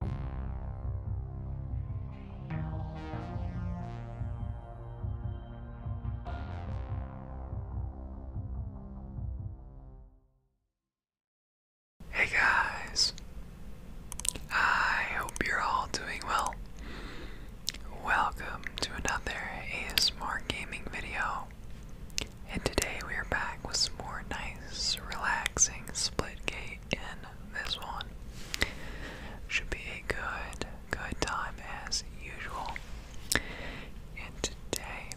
Hey guys, I hope you're all doing well. Welcome to another ASMR gaming video, and today we are back with some more nice, relaxing Splitgate and this one. Should be a good, good time as usual. And today,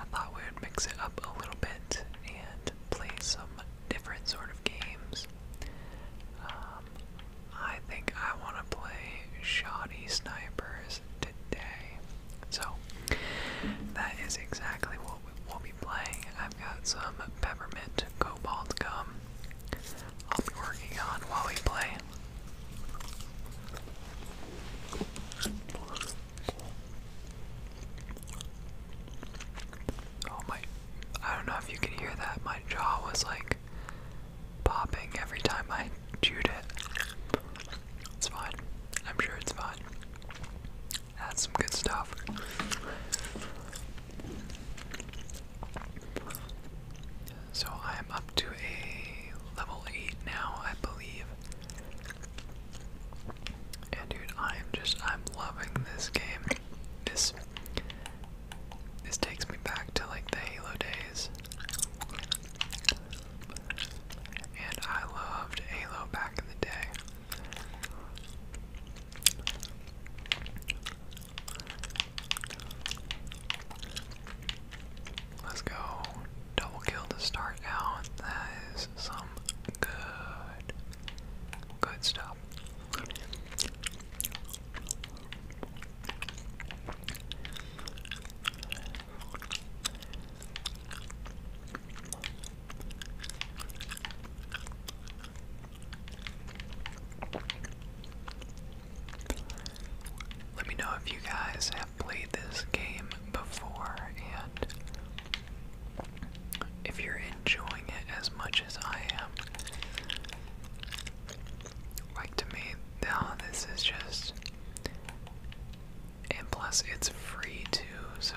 I thought we would mix it up a little bit and play some different sort of games. Um, I think I want to play Shoddy Snipers today. So, that is exactly what we will be I've got some peppermint cobalt gum I'll be working on while we play. Oh my, I don't know if you can hear that. My jaw was like popping every time I chewed it. It's fine. I'm sure it's fine. That's some good stuff. So I am up to a level 8 now, I believe. And dude, I am just I'm loving this game. This this takes me back to like the Halo days. And I loved Halo back in the day. Let's go. Double kill to start out. That is some good, good stuff. Let me know if you guys have played this game before and if you're enjoying it as much as I am. Like to me, now this is just and plus it's free too, so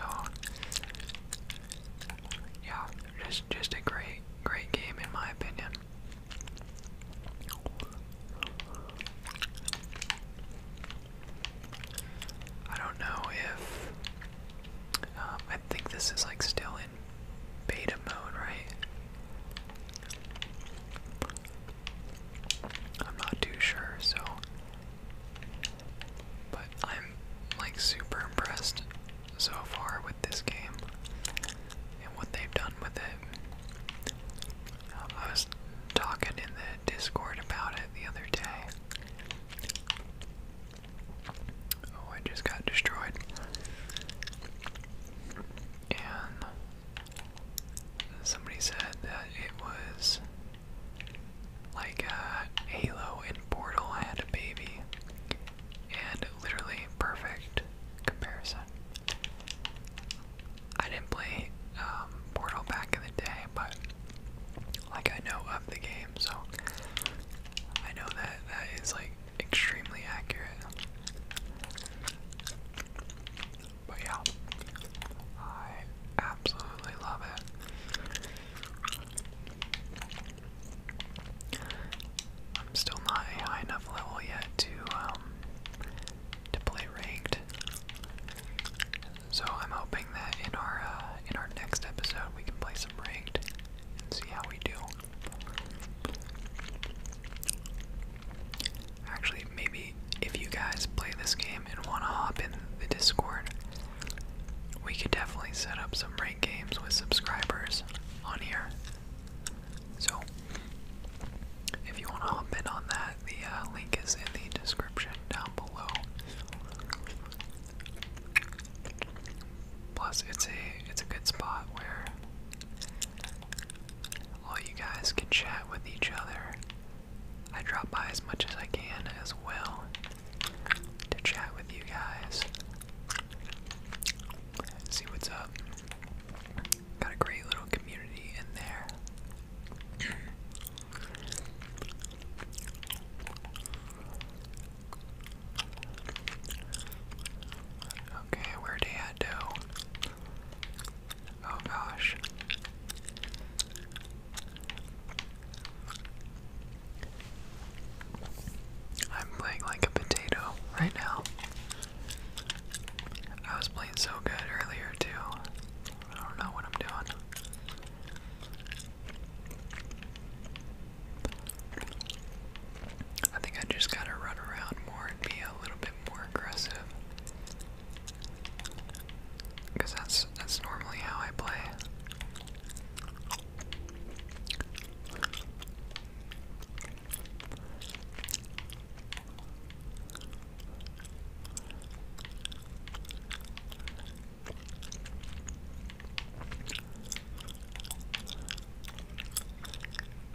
yeah, just just a great great game in my opinion. I don't know if um, I think this is like still in beta mode, right? I'm not too sure, so but I'm like super impressed so far with this game and what they've done with it. I was talking in the Discord about it the other day. Oh, I just got destroyed. And somebody said that it was like uh, Halo and Portal had a baby, and literally perfect comparison. I didn't play um, Portal back in the day, but like I know of the game, so I know that that is like extremely accurate. But yeah, I absolutely love it. I'm still not a high enough level yet to um, to play ranked. So I'm hoping that in our uh, in our next episode we can play some ranked and see how we do. Actually, maybe if you guys play this game and want to hop in the Discord, we could definitely set up some ranked games with subscribers on here. So, if you want to hop in on that, the uh, link is in the description down below. Plus, it's a it's a good spot where all you guys can chat with each other. I drop by as much as I can as well to chat with you guys. See what's up. Got a great little community in there. okay, where they at though? Oh gosh. I'm playing like a potato right now. I was playing so good earlier, too. I don't know what I'm doing. I think I just gotta run around more and be a little bit more aggressive. Because that's that's normally how I play.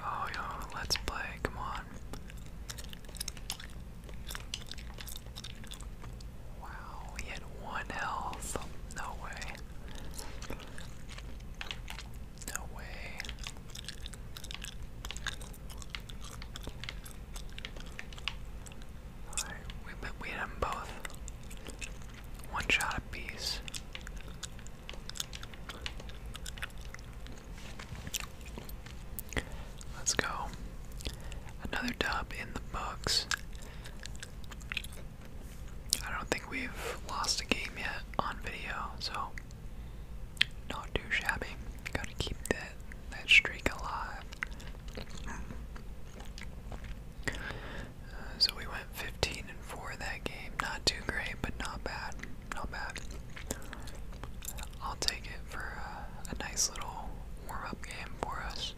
Oh yo, let's play, come on. Wow, he had one health. No way. No way. we, we hit them both. One shot apiece. Let's go. Another dub in the books. I don't think we've lost a game yet on video, so not too shabby. Gotta keep that that streak alive. Uh, so we went 15 and 4 that game. Not too great, but not bad. Not bad. I'll take it for uh, a nice little warm up game for us.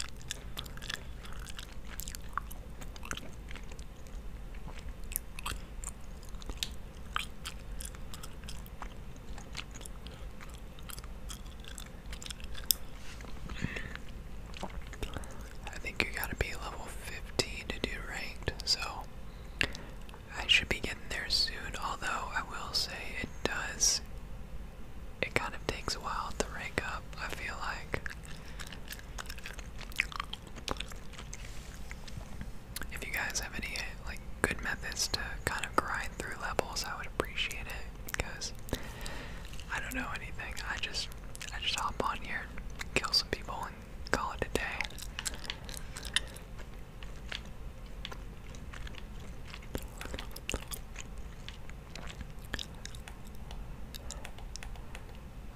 I think you gotta be level 50 to do ranked, so I should be getting there soon. Although, I will say it does it kind of takes a while to rank up, I feel like. If you guys have any like good methods to kind of grind through levels, I would appreciate it because I don't know anything. I just I just hop on here, kill some people and call it a day.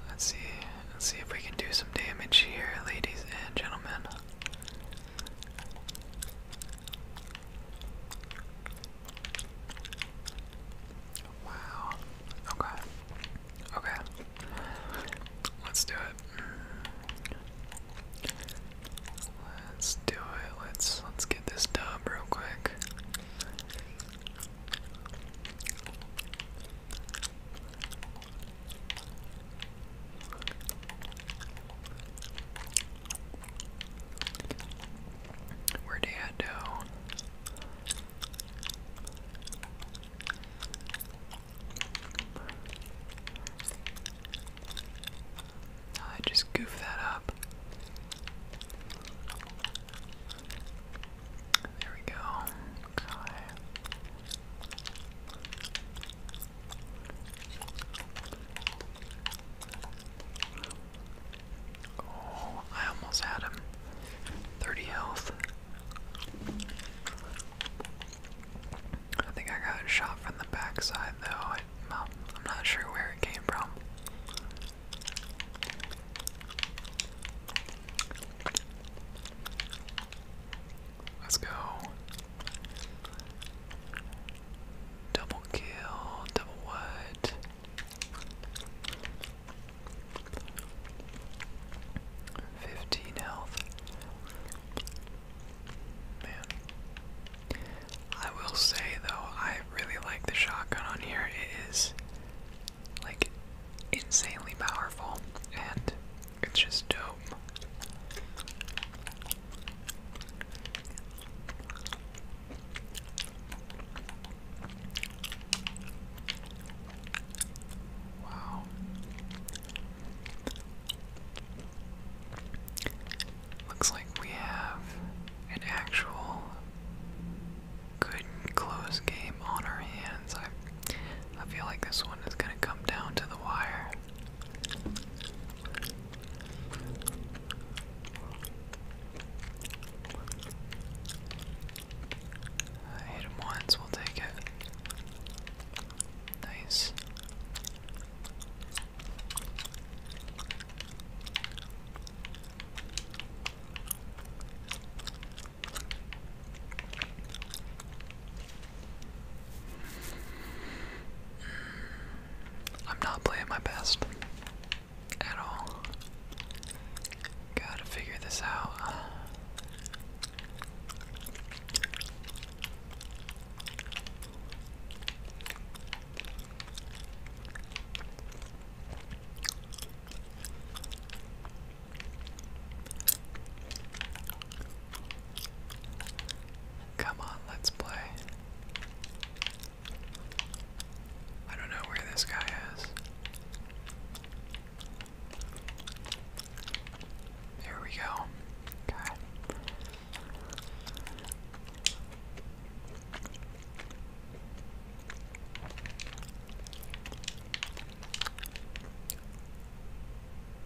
Let's see. Let's see if we can do some damage here, ladies and gentlemen. Wow. Okay. Okay. Let's do it. Let's do it. Let's let's get this done real quick. Where do I go? I just goofed that up. There we go. Oh, I almost had him. 30 health. I think I got shot from the backside, though. I, well, I'm not sure where it came from. Let's go. Double kill, double what? Fifteen health. Man. I will say though, I really like the shotgun on here. It is like insanely powerful and it's just dope. Wow. Looks like we have an actual good close game on our hands. I I feel like this one is gonna come down to the wire. hit him once, we'll take it. Nice. I'm not playing my best at all. Gotta figure this out. Come on, let's play. I don't know where this guy is. Here we go. Okay.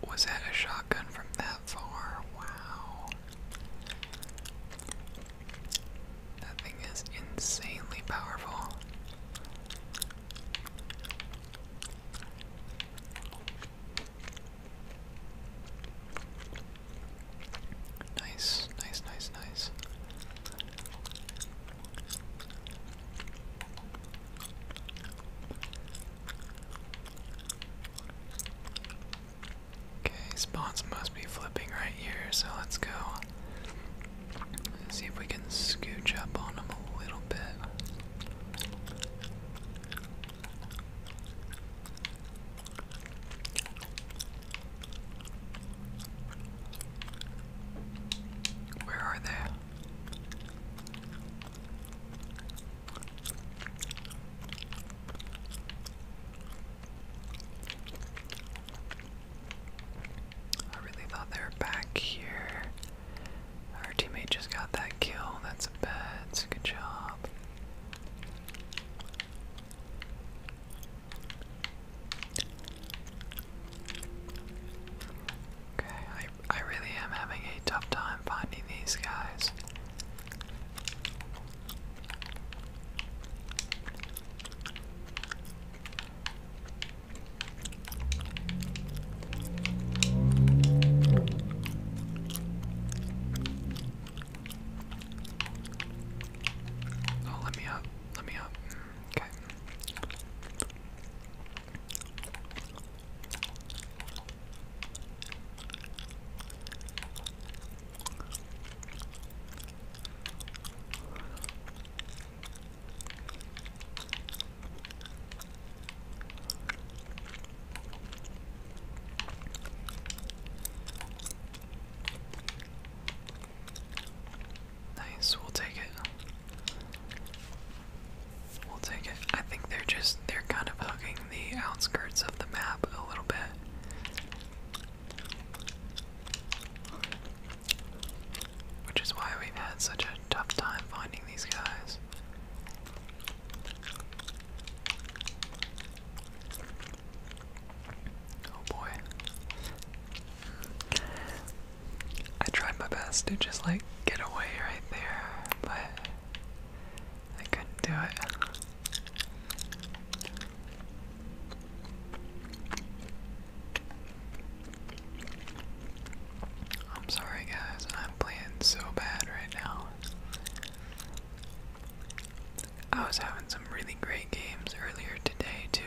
Was that a shotgun from that far? Wow. That thing is insanely powerful. Nice, nice, nice, nice. Okay, spawns must be flipping right here, so let's go. see if we can scooch up on them a little bit. Where are they? I really thought they were back here. Our teammate just got that kill. That's a bad. That's a good job. Okay, I I really am having a tough time finding these guys. Oh, let me up. Let me up. Okay. Nice, we'll take it. We'll take it. I think they're just they're kind of hugging the outskirts of the map a little bit. Which is why we've had such a tough time finding these guys. Oh boy. I tried my best to just like get away right there, but I couldn't do it. I'm sorry guys, I'm playing so bad right now. I was having some really great games earlier today, too.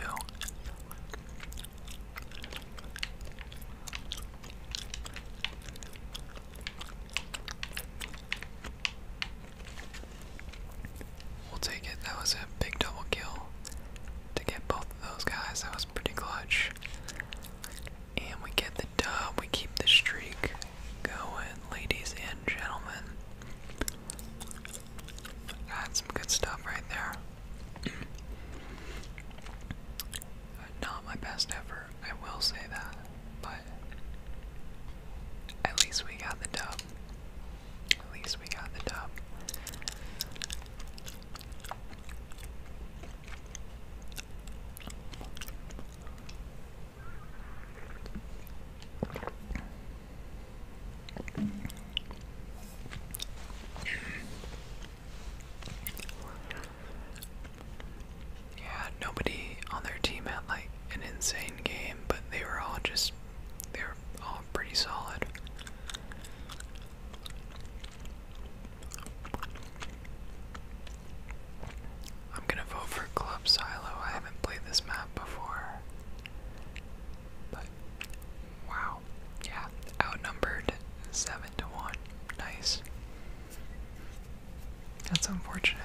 We'll take it. That was a big double kill to get both of those guys. That was pretty clutch. And we get the dub, we keep the streak going, ladies and gentlemen. That's some good stuff right there. Not my best effort, I will say that, but at least we got the dub. At least we got the dub. Yeah, nobody on their team had like an insane game, but they were all just they were all pretty solid. I'm gonna vote for Club Silo. I haven't played this map before. But wow. Yeah. Outnumbered seven to one. Nice. That's unfortunate.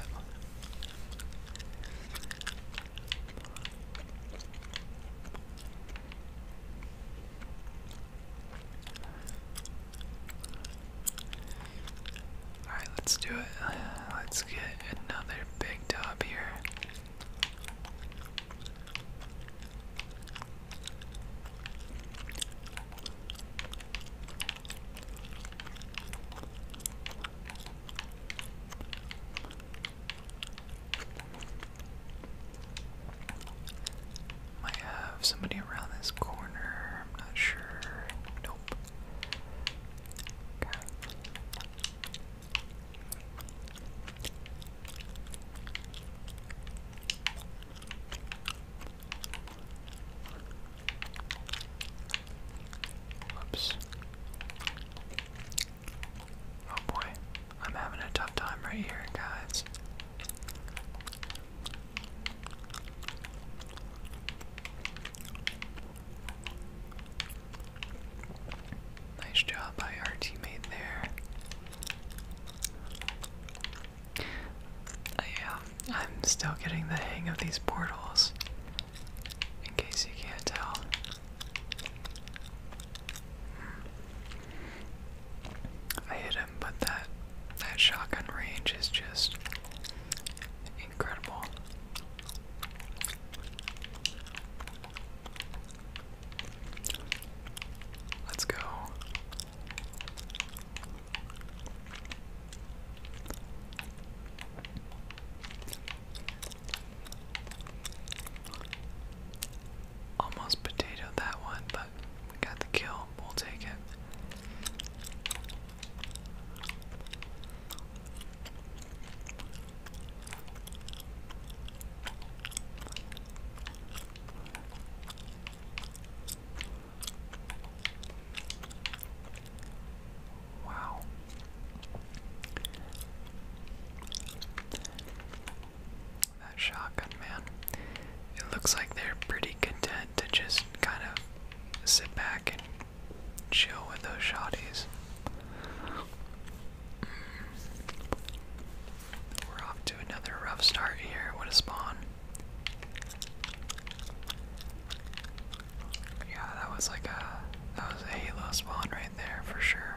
Alright, let's do it. Let's get another big top here. Might have somebody around this corner. I'm not sure. Nope. Okay. Oh boy, I'm having a tough time right here, guys. Nice job by our teammate there. Yeah, um, I'm still getting the hang of these portals, in case you can't tell. I hit but that that shotgun range is just incredible. Let's go. Almost potato that one, we got the kill. We'll take it. Wow. That shotgun, man. It looks like they're pretty content to just kind of sit back and chill with those shotties. Mm. We're off to another rough start here. What a spawn. Yeah, that was like a that was a Halo spawn right there for sure.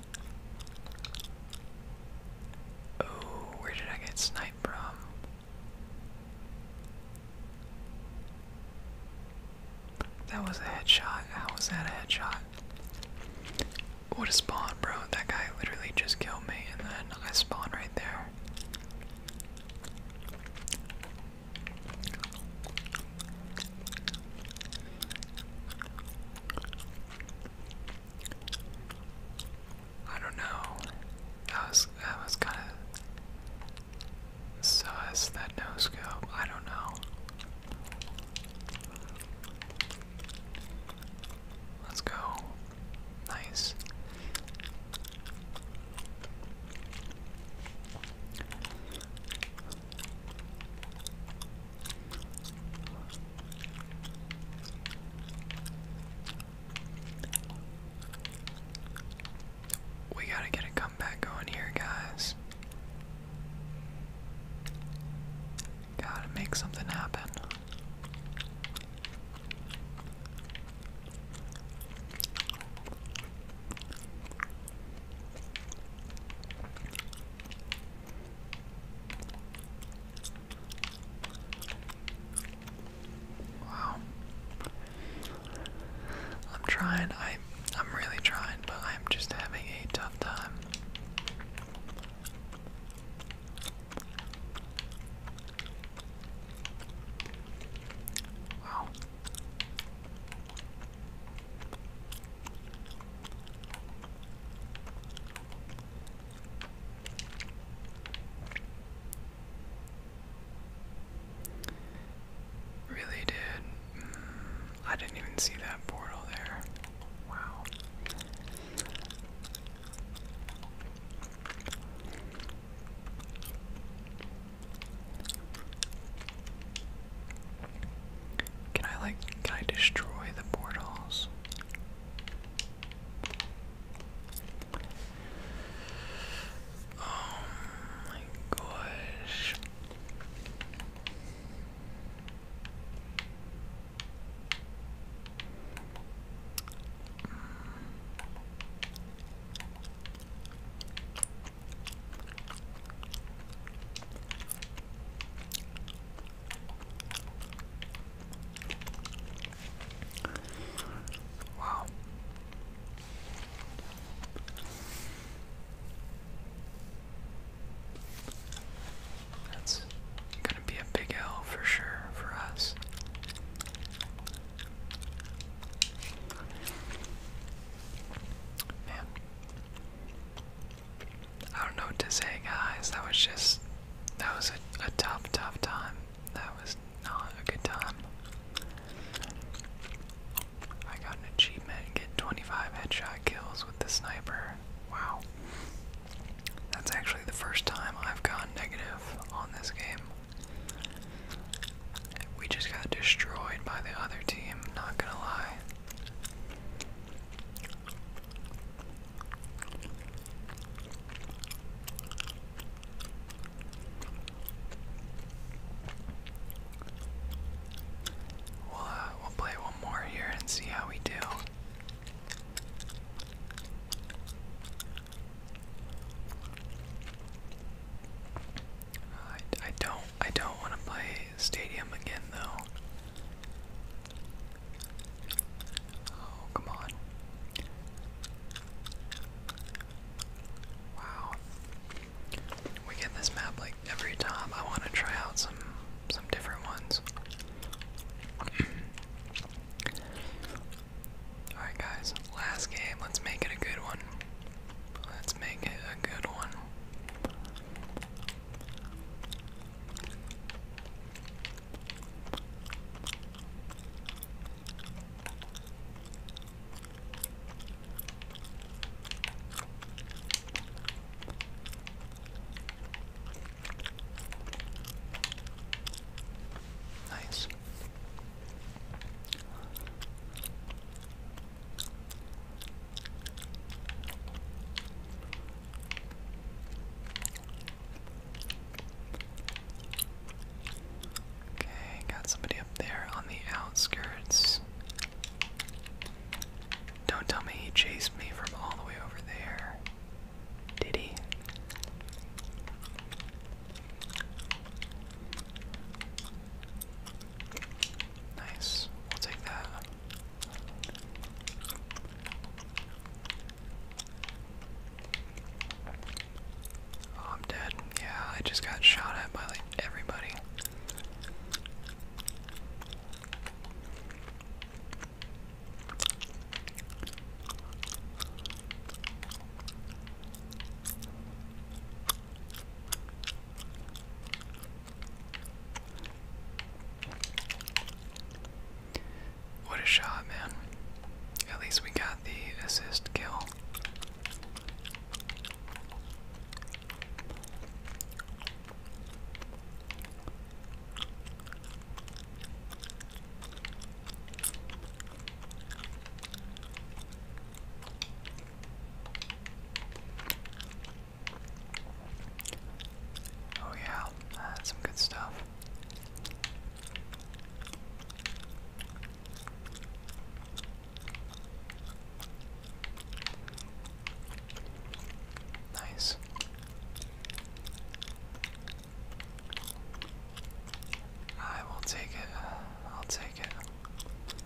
Oh, where did I get sniped from? That was a headshot. How was that a headshot? What a spawn, bro. That guy literally just killed me, and then I spawn right there. I don't know. That was that was kind of sus. That no scope. I don't know. Let's go. Nice. We gotta get a comeback going here, guys. Gotta make something happen. Wow. I'm trying. I I'm really trying, but I'm just having a tough time. Wow. Really did. Mm, I didn't even see that portal there. Wow. Can I like can I destroy the portals? Oh my gosh. Hmm. Wow. That's gonna be a big L for sure for us. Man, I don't know what to say, guys. That was just. That was a, tough, tough time. That was not a good time. I got an achievement and get 25 headshot kills with the sniper. Wow. That's actually the first time I've gotten negative on this game. We just got destroyed by the other team, not gonna lie. We'll, uh, we'll play one more here and see how we do. I, I don't I don't want to play stadium again, though. Oh, come on. Wow. We get this map like every time. I want to try out some some different ones. Alright guys, last game, let's make it a good one. Let's make it a good one. Nice. Okay, got somebody up there on the outskirts. Don't tell me he chased me from all the way over there. Did he? Nice. We'll take that. Oh, I'm dead. Yeah, I just got shot at by like everybody. What a shot, man. At least we got the assist kill. Oh yeah, that's some good stuff. Nice. I will take it. I'll take it.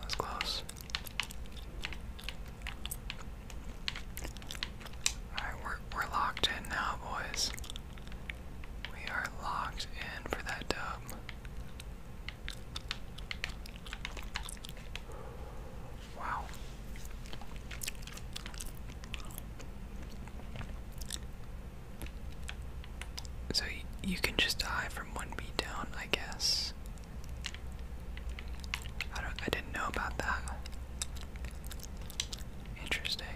That's close. Alright, we're, we're locked in now, boys. We are locked in for that dub. Wow. So you can just die from one beat down, I guess. I don't I didn't know about that. Interesting.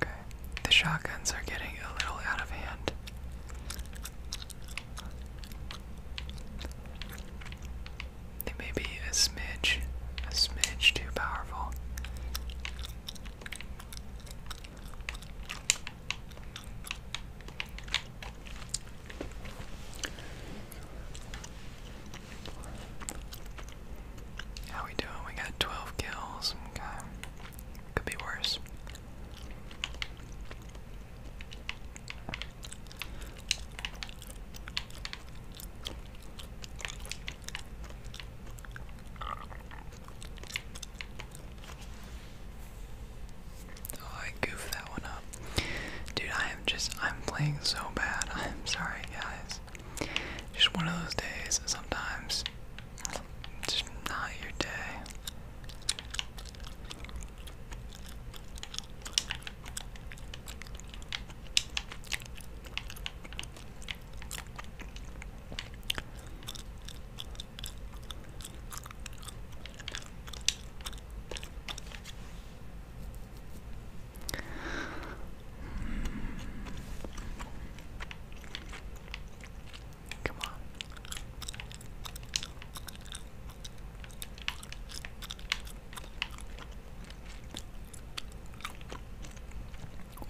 Okay, the shotguns are getting a little out of hand. They may be a smidge, a smidge too powerful. How we doing? We got 12 kills. Could be worse. Oh, I goofed that one up. Dude, I am just, I'm playing so bad. I'm sorry, guys. Just one of those days, sometimes. Just not your day.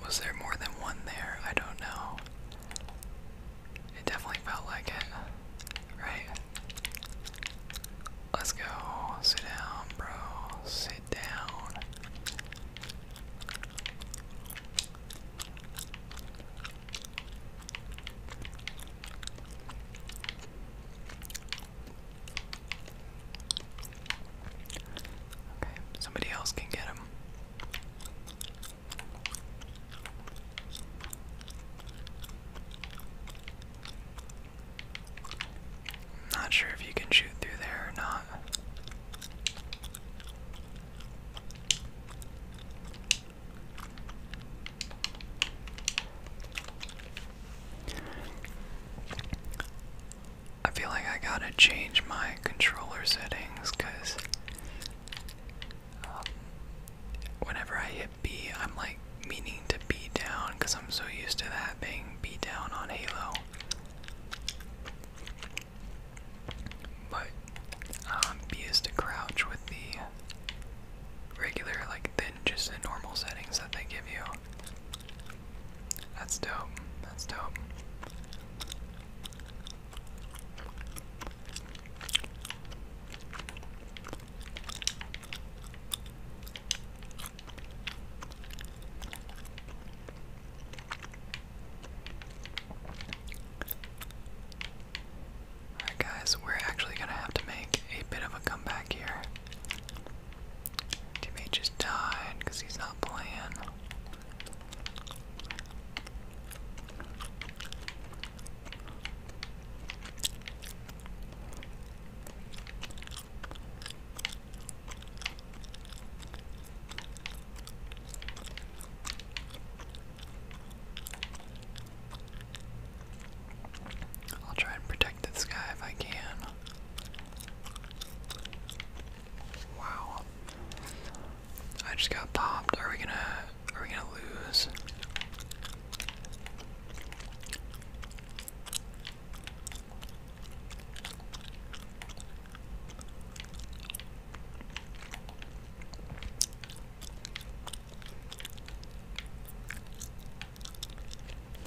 Was there more than one there? I don't know. It definitely felt like it. Right. Let's go. Sit down, bro. Sit down. Okay, somebody else can get him. Not sure if you can shoot through there or not. I feel like I gotta change my controller settings because um, whenever I hit hit B, I'm like meaning to be down because I'm so used to that thing be down on Halo. But um, B is to crouch with the regular, like then just the normal settings that they give you. That's dope. That's dope. Alright, guys, we're actually gonna have to make a bit of a comeback here. Teammate just died because he's not playing. I'll try and protect this guy if I can. Wow. I just got popped. Are we gonna are we gonna lose?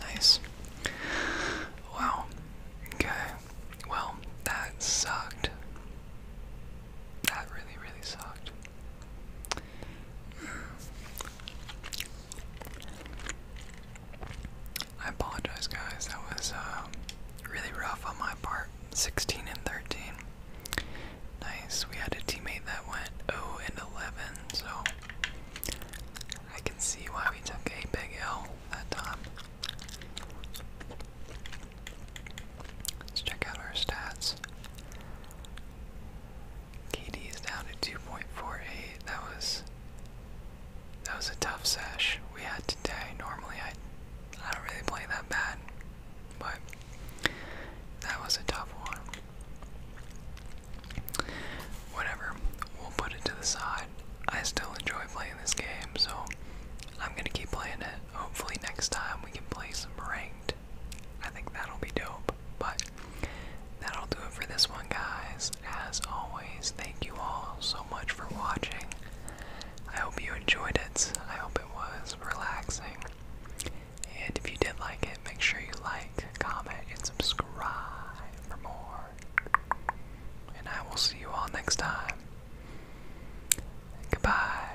Nice. Wow. Okay. Well, that sucked. That really, really sucked. I apologize, guys. That was uh, really rough on my part. 16 and 13. Nice. We had a teammate that went oh and 11, so I can see why we took a big L that time. Let's check out our stats. KD is down to 2.48. That was that was a tough sesh we had today. Normally I I don't really play that bad, but that was a tough one. Whatever, we'll put it to the side. I still enjoy playing this game, so I'm gonna keep playing it. Hopefully next time we can play some ranked. I think that'll be dope. But that'll do it for this one, guys. As always, thank you all so much for watching. I hope you enjoyed it. I hope it was relaxing. And if you did like it, make sure you like, comment, and subscribe for more. And I will see you all next time. Goodbye.